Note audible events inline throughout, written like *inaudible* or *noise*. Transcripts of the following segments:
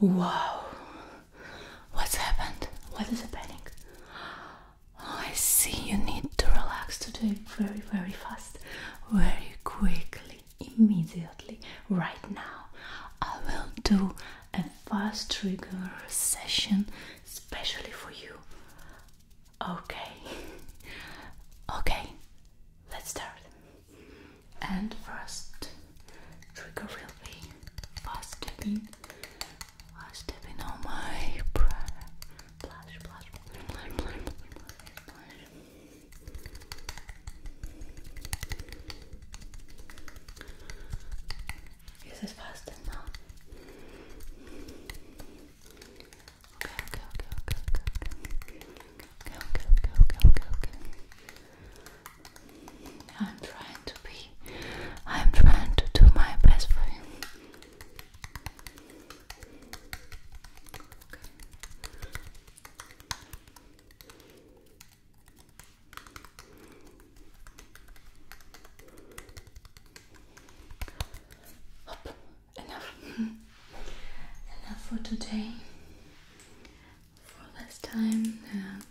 Wow, what's happened? What is happening? I see you need to relax today very, very fast, very quickly, immediately, right now. I will do a fast trigger session especially for you. Okay, okay, let's start and first trigger will be fast tapping fast tapping on my fast now? Okay, okay, okay, go, go, go, go, go, I'm trying to be, I'm trying to do my best for you. Enough. *laughs* Enough for today for this time and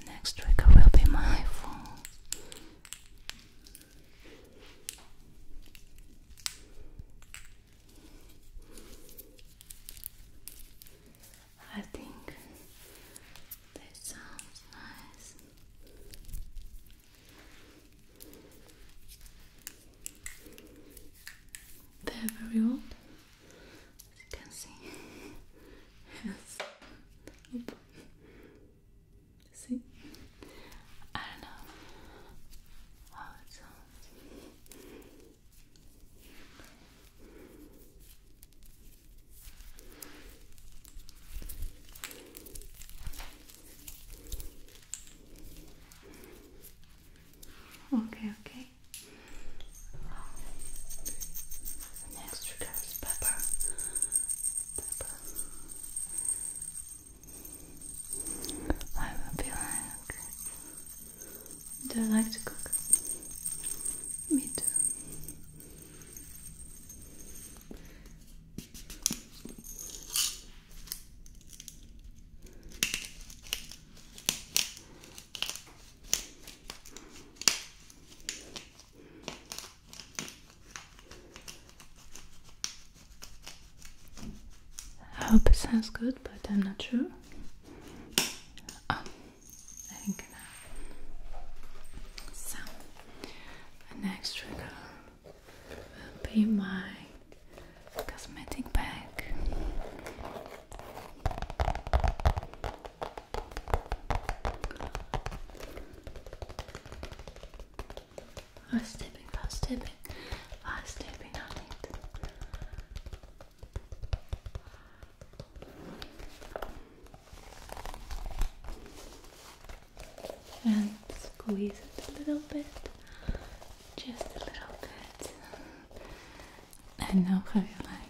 the next trigger will be my phone. I think that sounds nice. They're very old. As you can see, yes. See, I know how it sounds. Okay, okay. The next trigger pepper. I will be like, do you like to cook? Me too. I hope it sounds good, but I'm not sure. Oh, so, the next trigger will be my cosmetic bag. Fast tapping, fast tapping, fast tapping on it. And squeeze it a little bit, just a little bit. And now how like.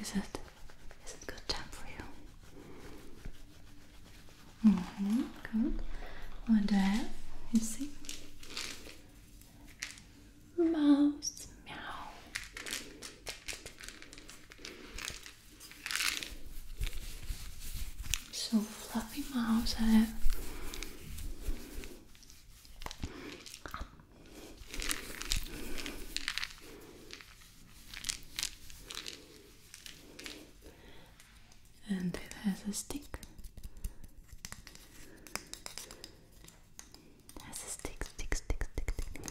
Is it? Is it good time for you? Mm -hmm, good. What do I You see? Mouse. Meow. So fluffy mouse I uh, and it has a stick. has a stick, stick, stick, stick, stick.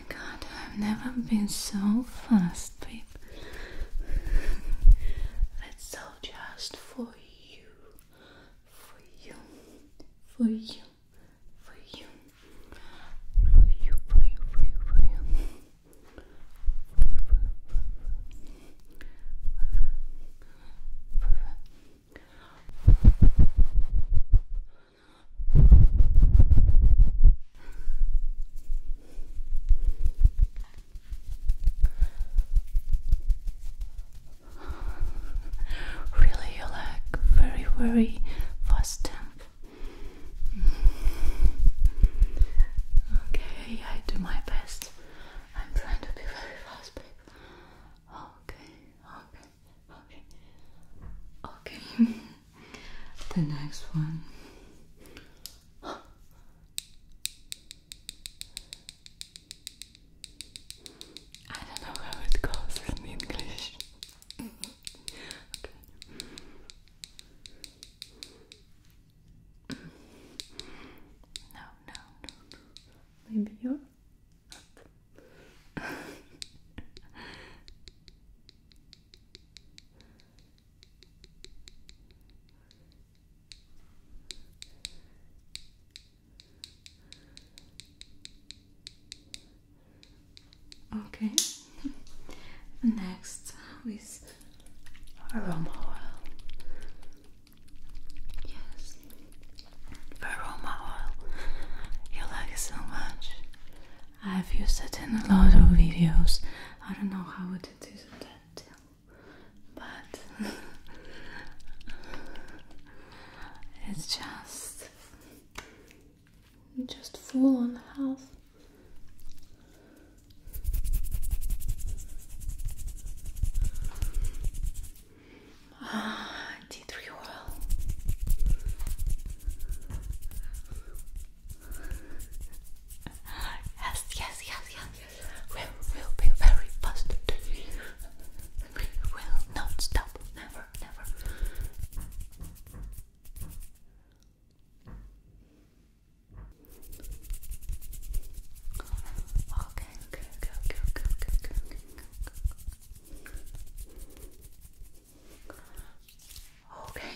my god, I've never been so fast, babe. That's all just for you, for you, for you, for you, for you, for you, for you, for you. For Really, you like very, very fast temp. Okay, I do my best. I'm trying to be very fast, babe. Okay, okay, okay, okay. *laughs* the next one. I don't know how it goes in English. no, no, no. Maybe you're up. *laughs* Okay. *laughs* Next is aroma oil. Yes, aroma oil. You like so much. I've used it in a lot of videos. I don't know how it is in that but *laughs* it's just just full on health. Ah, tea tree oil yes, yes, yes, yes. We will be very fast. We will not stop. Never, never. Okay, okay, okay, okay, okay, okay, okay, okay, okay. Okay.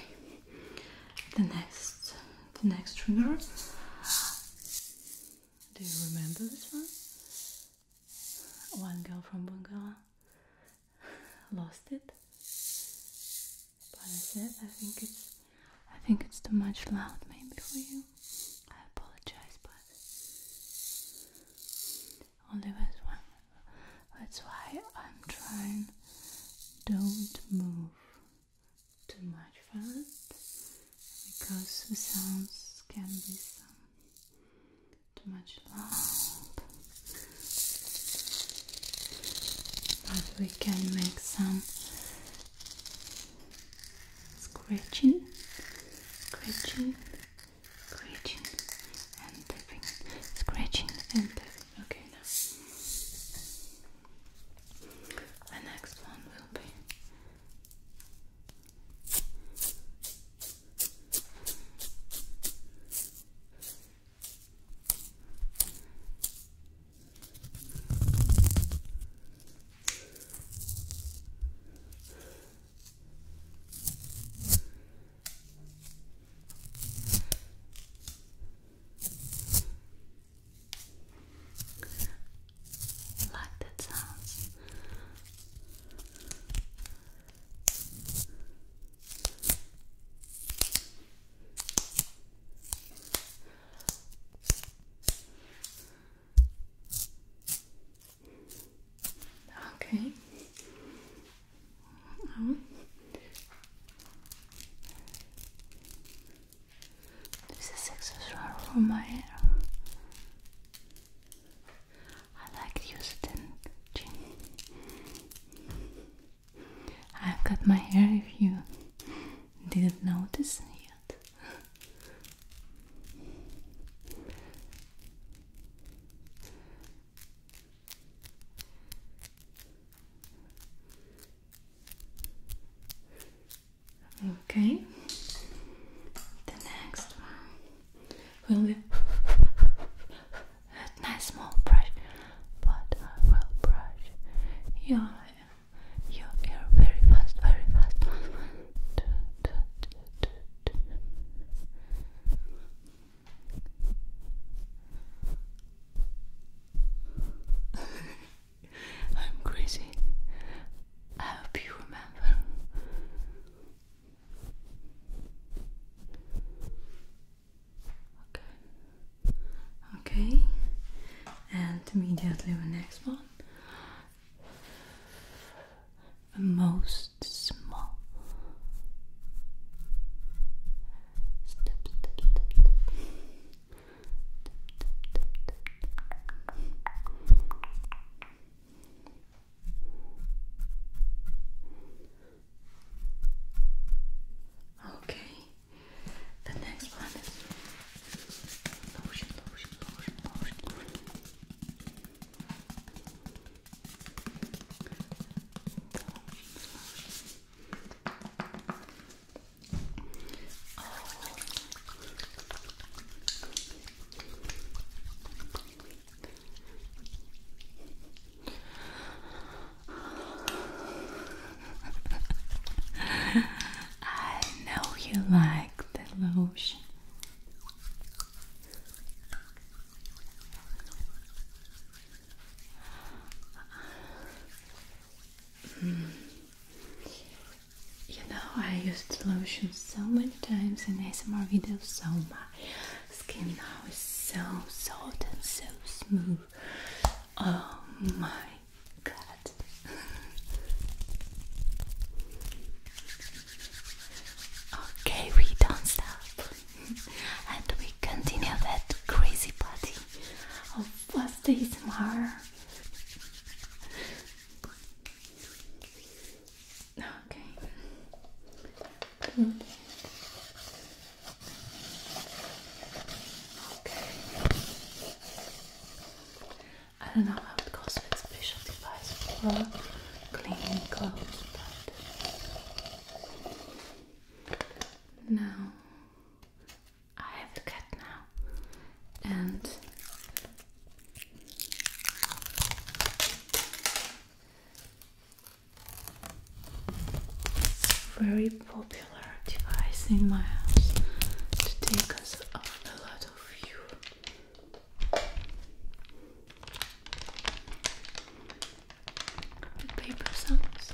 The next the next trigger. Do you remember this one? One girl from Bungala lost it. But I said I think it's I think it's too much loud maybe for you. I apologize but only this one. That's why I'm trying don't move too much fast because the sounds can be some too much loud. But we can make some scratching, scratching, scratching and tapping, scratching and tapping. Okay, now the next one will be like that sounds. Okay, uh-huh. This is accessory for my hair. I like to I've got my hair if you didn't notice yet. Okay, the next one will be a nice small brush, but I will brush your, your ear very fast, very fast. *laughs* I'm crazy. I hope you remember. Okay. Okay. And immediately the next one. the Most small. Step, step, Okay, the next one is I know you like the lotion. Hmm. You know, I used lotion so many times in ASMR videos, so my skin now is so soft and so smooth. Oh my god. okay, we don't stop. *laughs* and we continue that crazy party was this ASMR? Okay. Good. Okay. I don't know how it goes with special device for cleaning clothes, but now I have a cat now, and very popular device in my house to take us a lot of you. Paper sounds.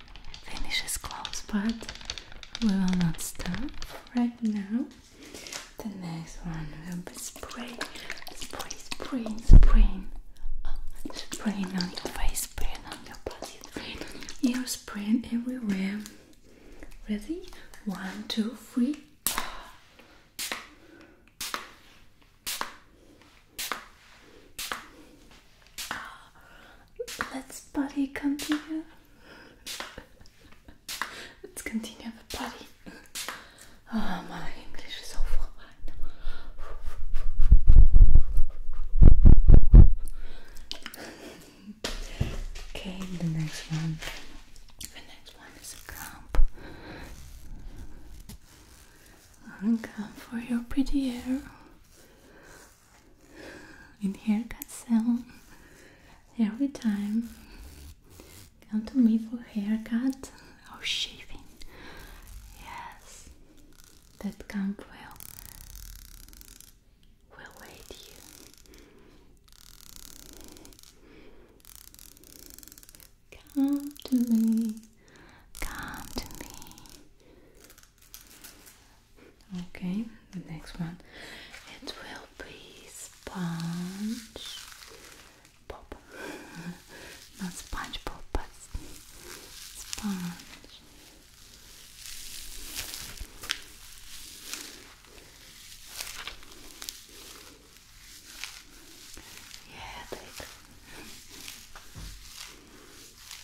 finish is close, but we will not stop right now. The next one will be spray, spray, spray, spray. Oh, spray on your face, spray on your body, spray on your everywhere. Ready? One, two, three. Uh, let's buddy continue. Let's continue the buddy. Oh, my English is awful okay, the next one. The next one is a clump. Come for your pretty hair in haircut salon every time. Come to me for haircut or oh, shaving. Yes, that camp will will wait you. Come to me, come to me. Okay, the next one. It will be sponge pop. *laughs* Not sponge pop, but sponge. Yeah, take.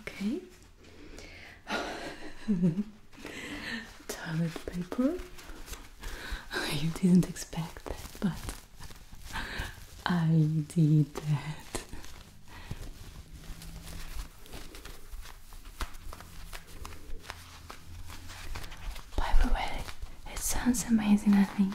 Okay. *laughs* Toilet paper. *laughs* you didn't expect that, but *laughs* I did that. By the way, it sounds amazing, I think.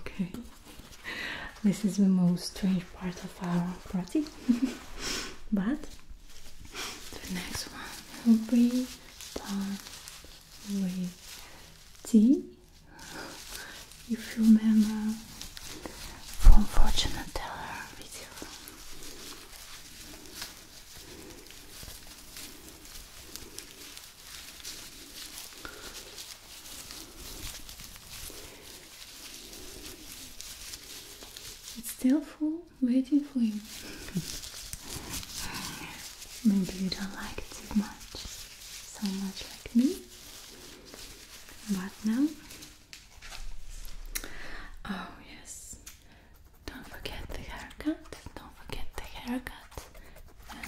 Okay, this is the most strange part of our party, *laughs* but the next one will be done with tea. If you remember from Fortune Teller it's still full, waiting for you. *laughs* Maybe you don't like it too much, so much like me. But now, oh yes, don't forget the haircut. Don't forget the haircut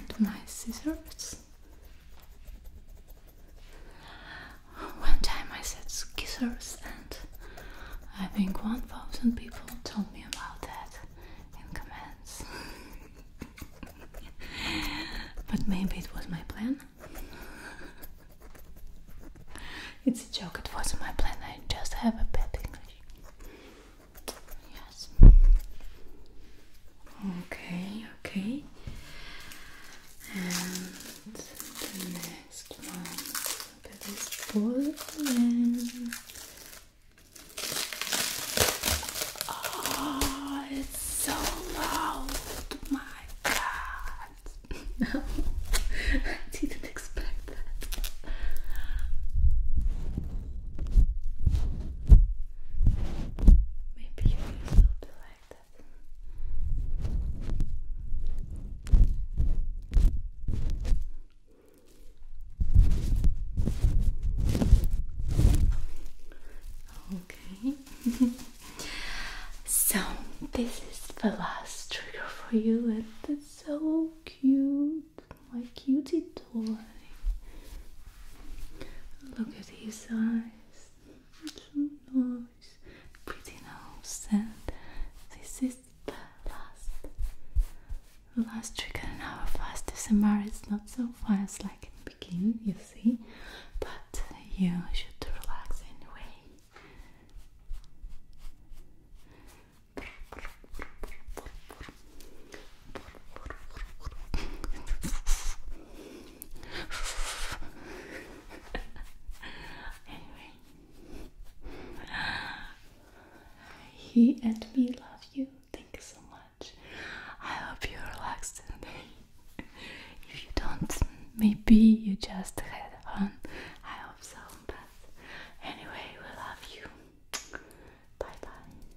and my scissors. One time I said scissors, and I think 1000 people told me about that in comments. *laughs* but maybe it was my plan. it's a joke, it wasn't my plan, I just have a bad English. Yes. Okay, okay. And the next one that is full and Oh, it's so loud! My God! No, *laughs* I didn't expect that. Maybe you will be like that. Okay. *laughs* so this is the last trigger for you, and it's so cute my cutie toy. Look at his eyes. It's so nice. Pretty nose. And this is the last, last trigger in our fast This ASMR. It's not so fast like in the beginning, you see. But you should relax anyway anyway, *laughs* he and me love you. Thank you so much. I hope you are relaxed today. *laughs* if you don't, maybe you just had on. I hope so. But anyway, we love you. Bye bye.